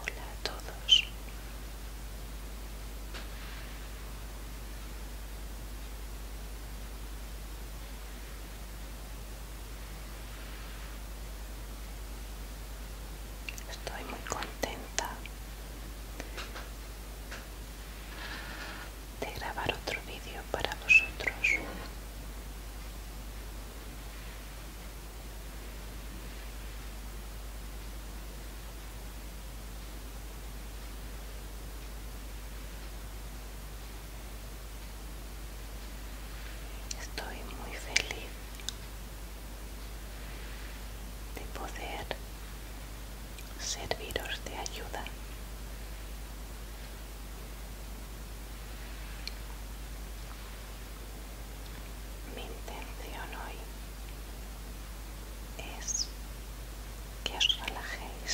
Hola a todos estoy muy contenta de grabar otro vídeo para vosotros Estoy muy feliz de poder serviros de ayuda. Mi intención hoy es que os relajéis.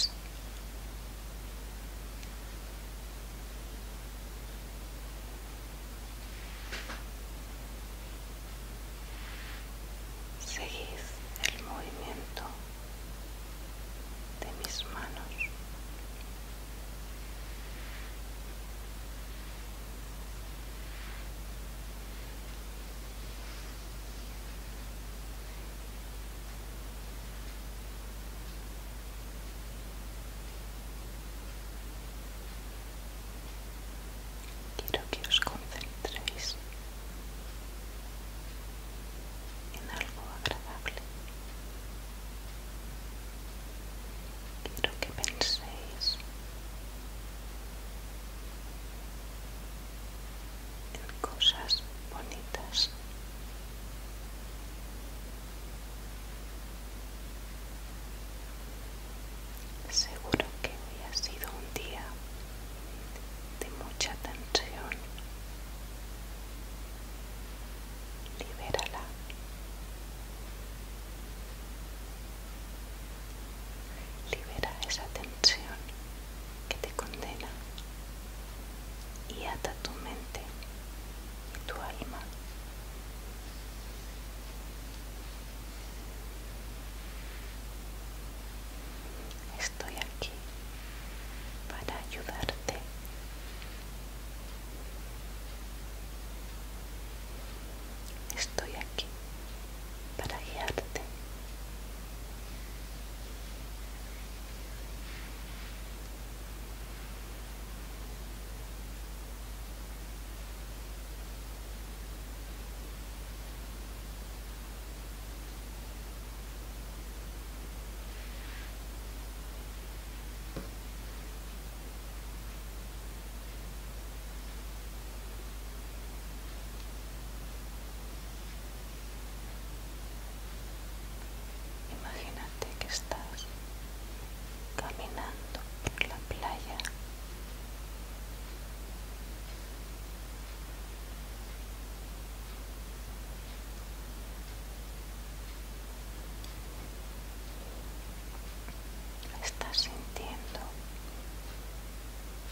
Seguís el movimiento de mis manos. Quiero que os concentréis en algo agradable. Quiero que penséis en cosas bonitas Seguro que hoy ha sido un día de mucha tensión. Libérala. Libera esa tensión que te condena y ata tu mente y tu alma. Estoy aquí para ayudarte. Estoy aquí para guiarte. Imagina que estás caminando por la playa estás sintiendo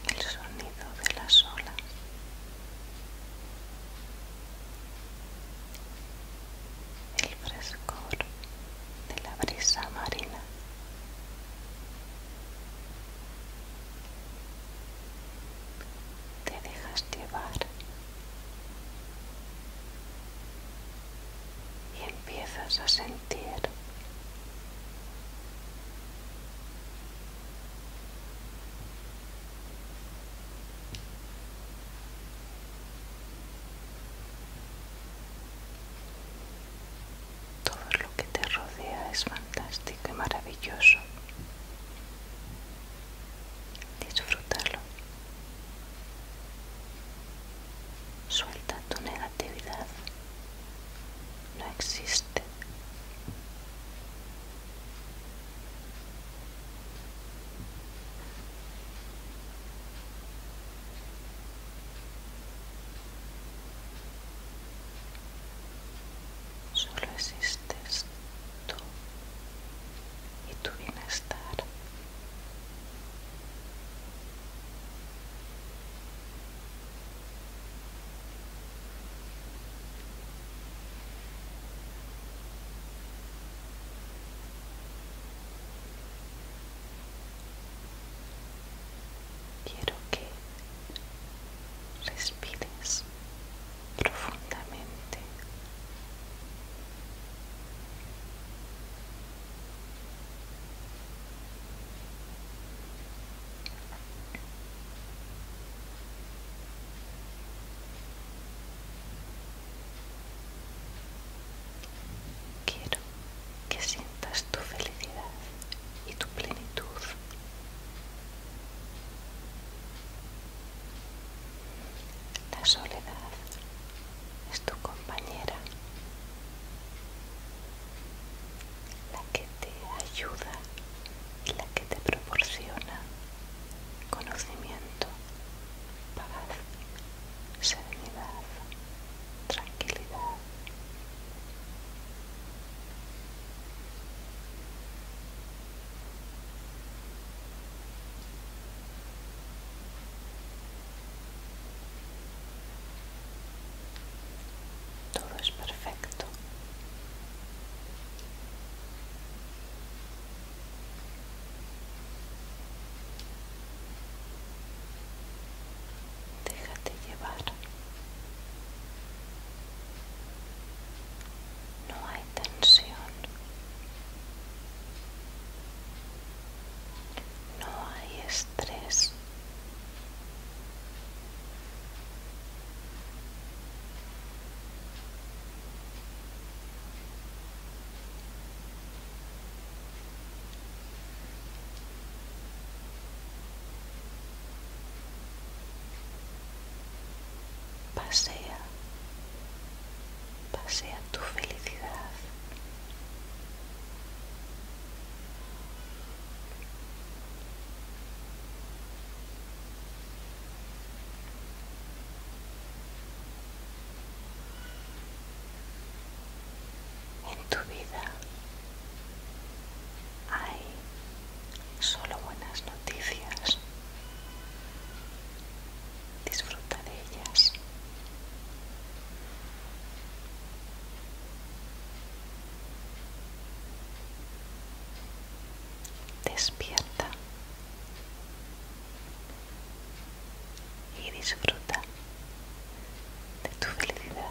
el sonido de las olas el frescor de la brisa marina. Te dejas llevar y empiezas a sentir todo lo que te rodea es fantástico y maravilloso. Disfrútalo. Suelta tu negatividad. No existe. Solo existes tú y tu bienestar. Quiero que respires profundamente. Quiero que sientas tu felicidad y tu plenitud. La soledad es tu compañera la que te ayuda y la que te proporciona conocimiento, paz, serenidad, tranquilidad. Todo es perfecto, Déjate llevar. No hay tensión. No hay estrés Pasea, pasea tu felicidad. En tu vida hay solo buenas noticias. Disfruta de ellas. Despierta y disfruta de tu felicidad.